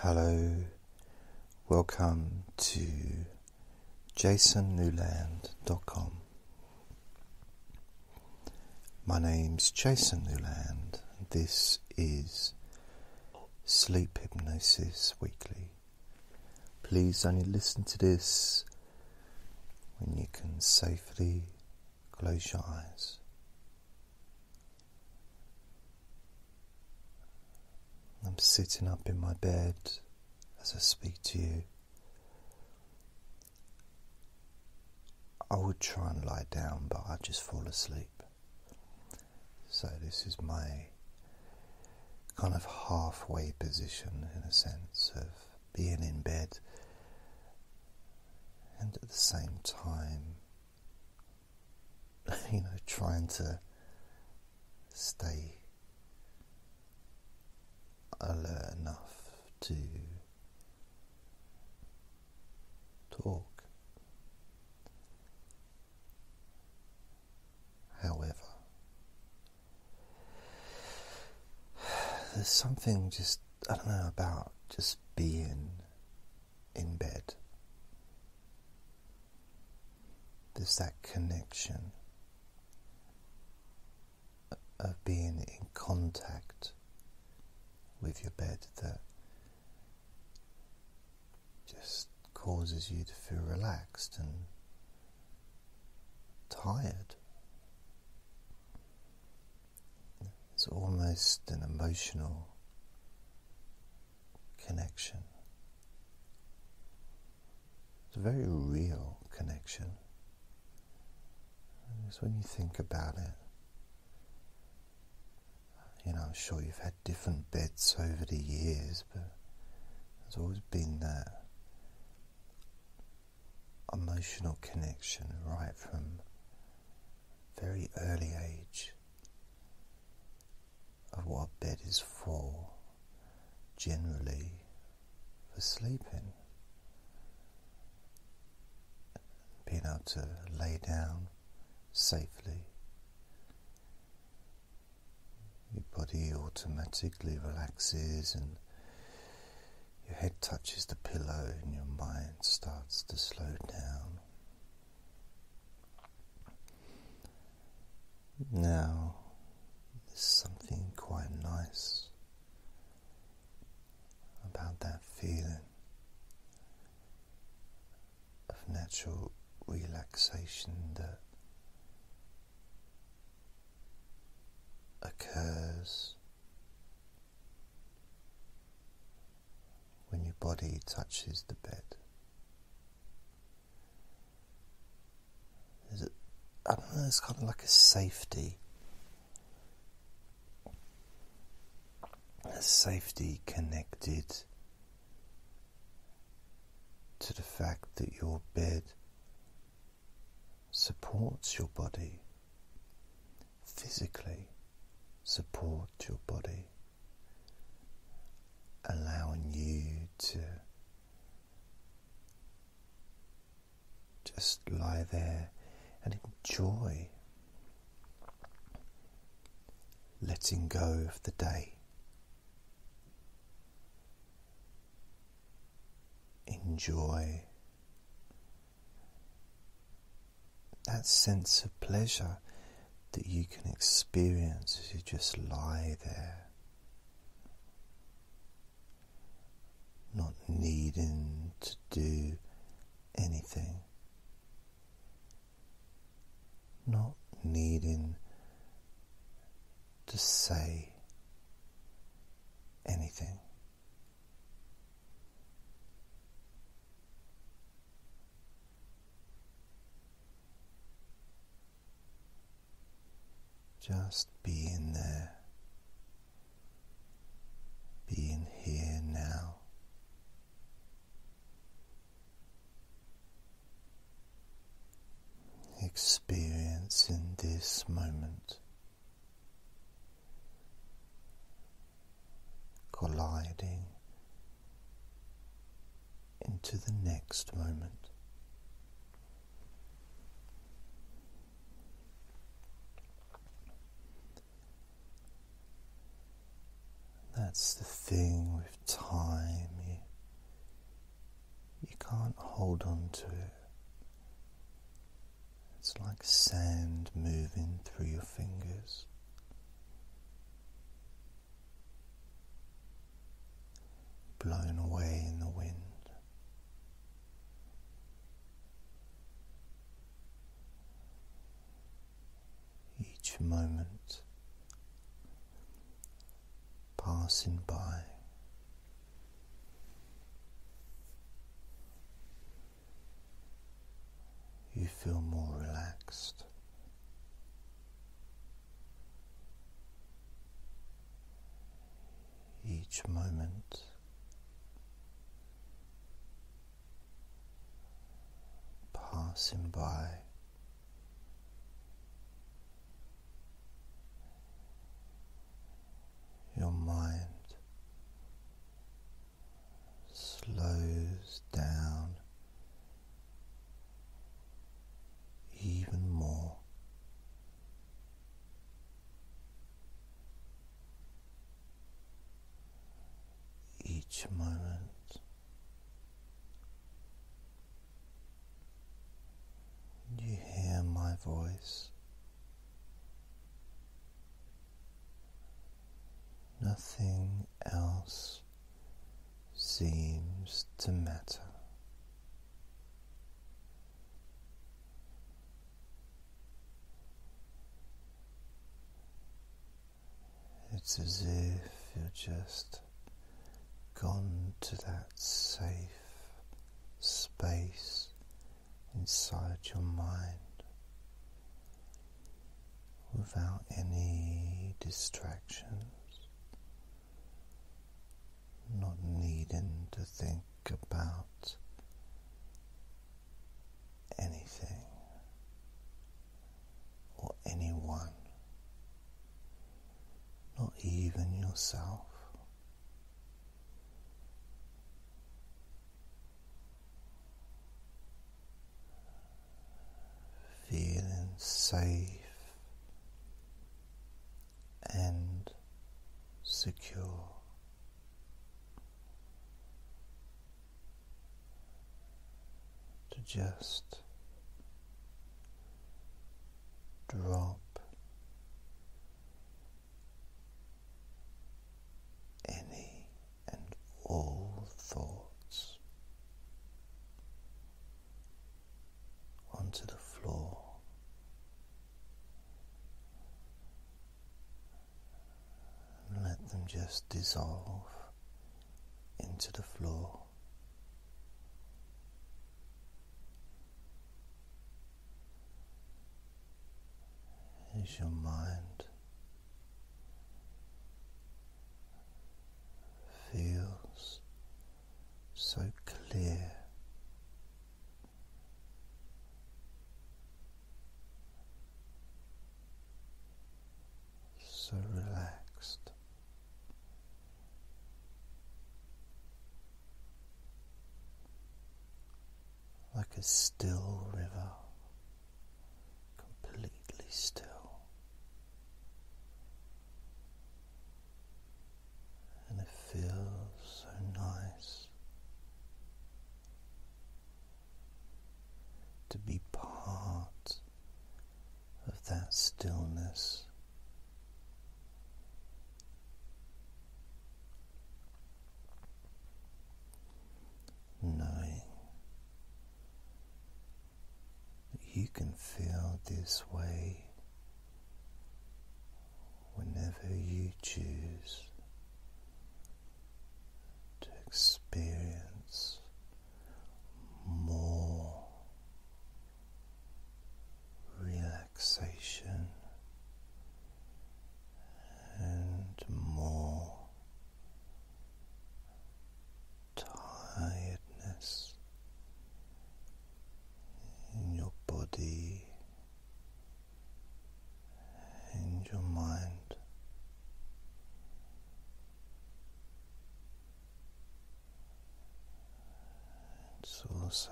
Hello, welcome to jasonnewland.com. My name's Jason Newland. and This is Sleep Hypnosis Weekly. Please only listen to this when you can safely close your eyes. I'm sitting up in my bed as I speak to you. I would try and lie down, but I just fall asleep. So, this is my kind of halfway position in a sense of being in bed and at the same time you know, trying to stay alert enough to talk. However, there's something just, I don't know, about just being in bed. There's that connection of being in contact with your bed that just causes you to feel relaxed and tired. It's almost an emotional connection. It's a very real connection. Because when you think about it, you know, I'm sure you've had different beds over the years, but there's always been that emotional connection right from very early age of what a bed is for, generally for sleeping. Being able to lay down safely. Your body automatically relaxes and your head touches the pillow and your mind starts to slow down. Now, there's something quite nice about that feeling of natural relaxation that occurs when your body touches the bed. There's a, I don't know, it's kind of like a safety. A safety connected to the fact that your bed supports your body physically support your body, allowing you to just lie there and enjoy letting go of the day. Enjoy that sense of pleasure that you can experience as you just lie there, not needing to do anything, not needing to say anything. Just being there, being here now. Experiencing this moment colliding into the next moment. That's the thing with time. You, you can't hold on to it. It's like sand moving through your fingers. Blown away in the wind. Each moment passing by you feel more relaxed. Each moment passing by, your mind slows down even more. Each moment. You hear my voice Nothing else seems to matter. It's as if you're just gone to that safe space inside your mind without any distractions, not needing to think about anything or anyone, not even yourself. Feeling safe and secure. To just drop any and all thoughts onto the floor. And let them just dissolve into the floor as your mind feels so clear. So relaxed, like a still river, completely still. And it feels so nice to be part of that stillness knowing you can feel this way whenever you choose to experience more relaxation and more tiredness in your body and your mind. It's also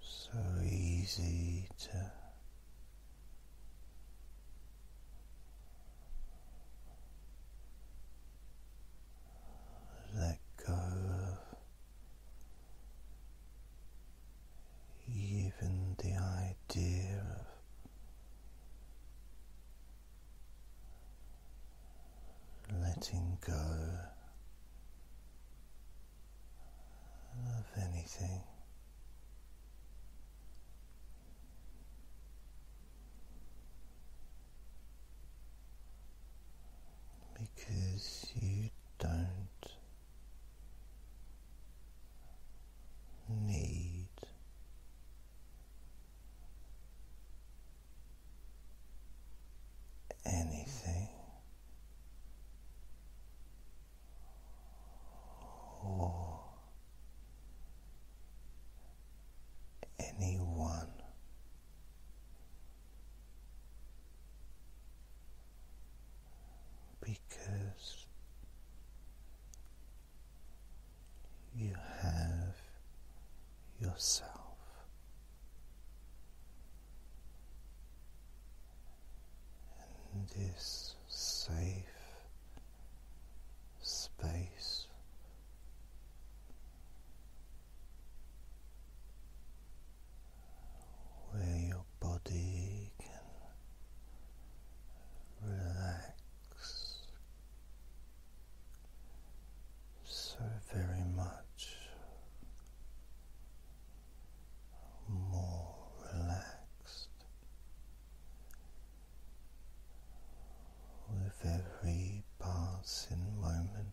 so easy to let go of even the idea of letting go of anything. Because you don't need anything or anyone. Because you have yourself. in this safe space where your body can relax so very much more relaxed with every passing moment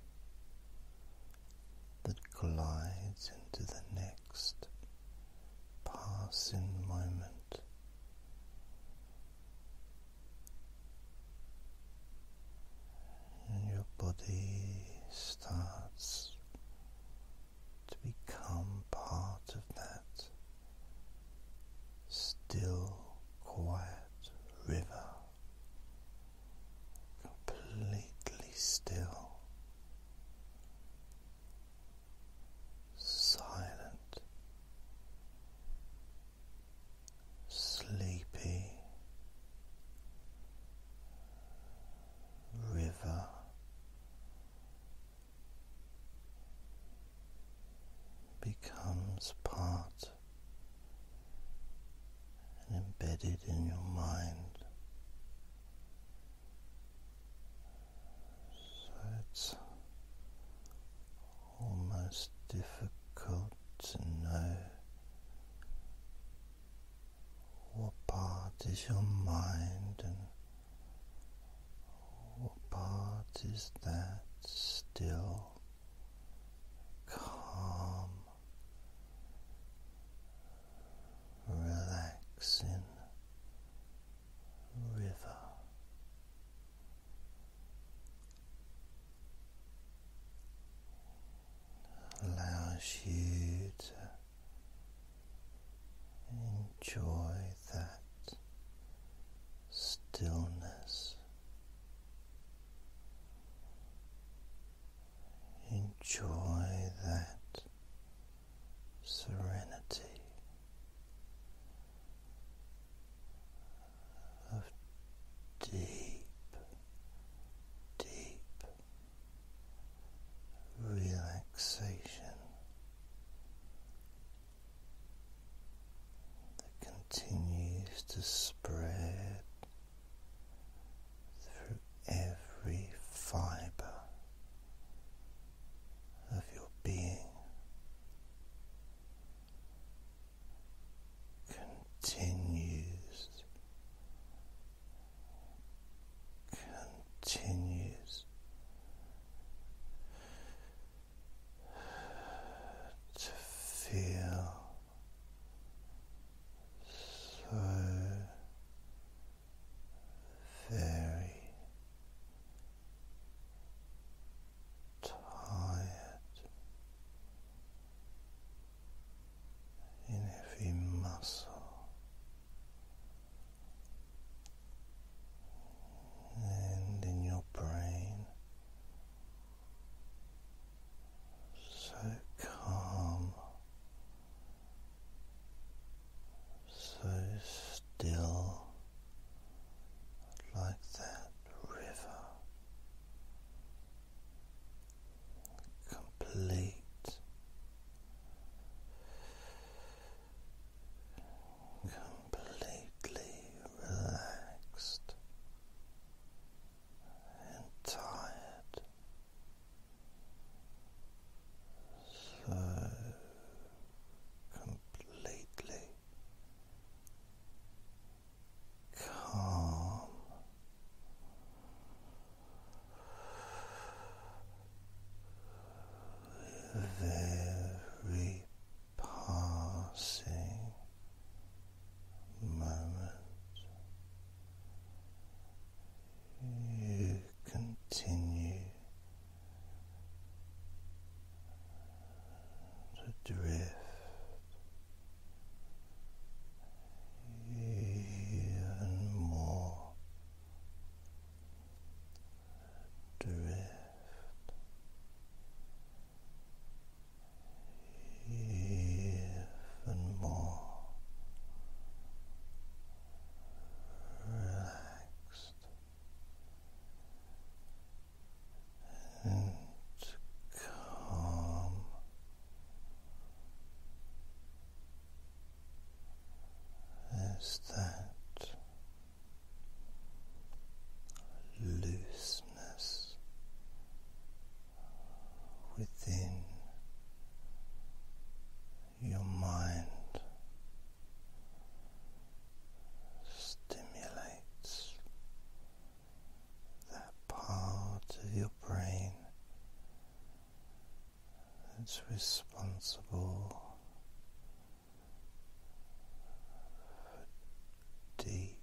that glides into the next. Passing moment. And your body starts to become part of that still, quiet river, completely still, silent, sleepy river. Becomes part and embedded in your mind so it's almost difficult to know what part is your mind and what part is that still calm, relaxing river. Allows you to enjoy that stillness, enjoy that serenity of deep, deep relaxation that continues to spread through every fiber of your being. Continues, continues to feel so very tired in every muscle and in your brain. So calm so still like that river, complete. Completely relaxed tired, so completely calm. Very passing moment you continue to drift. Even more drift, even more relaxed and calm. There's that looseness within your mind stimulates that part of your brain that's responsible for deep,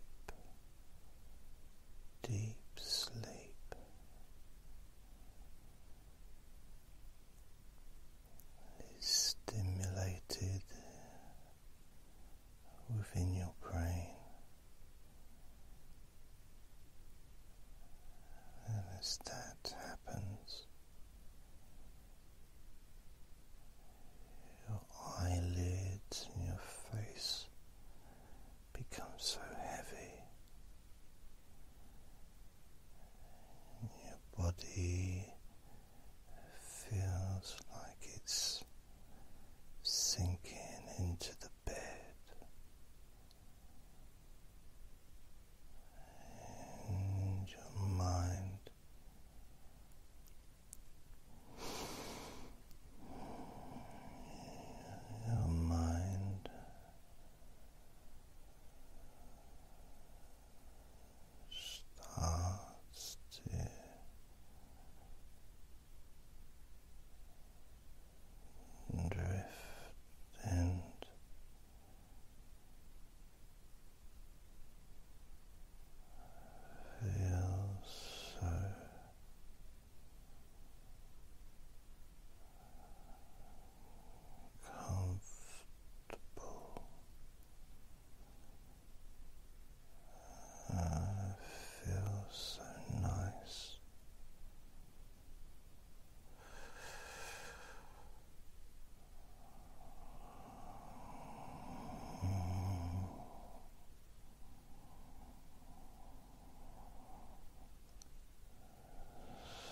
deep sleep is stimulated within your brain. And as that happens, your eyelids and your face become so heavy your body feels like it's sinking into the bed, your mind. Your mind starts to drift and feel so comfortable uh, feels so nice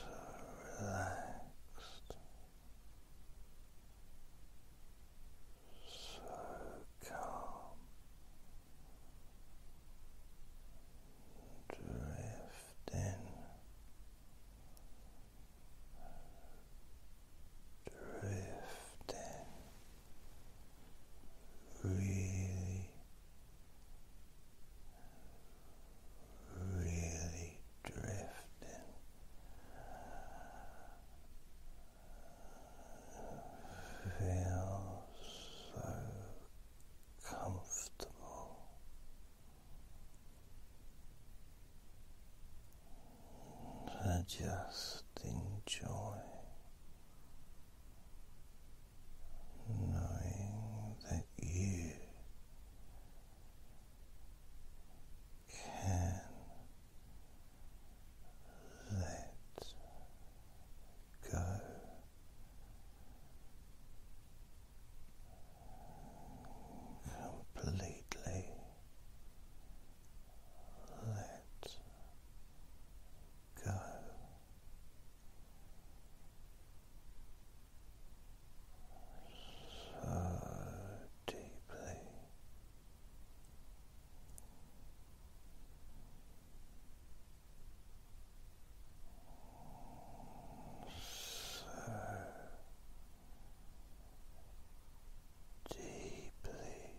so relaxed, so calm, drifting, drifting. Really really drifting feel so comfortable and just enjoy knowing that you can let go. Completely let go so deeply. So deeply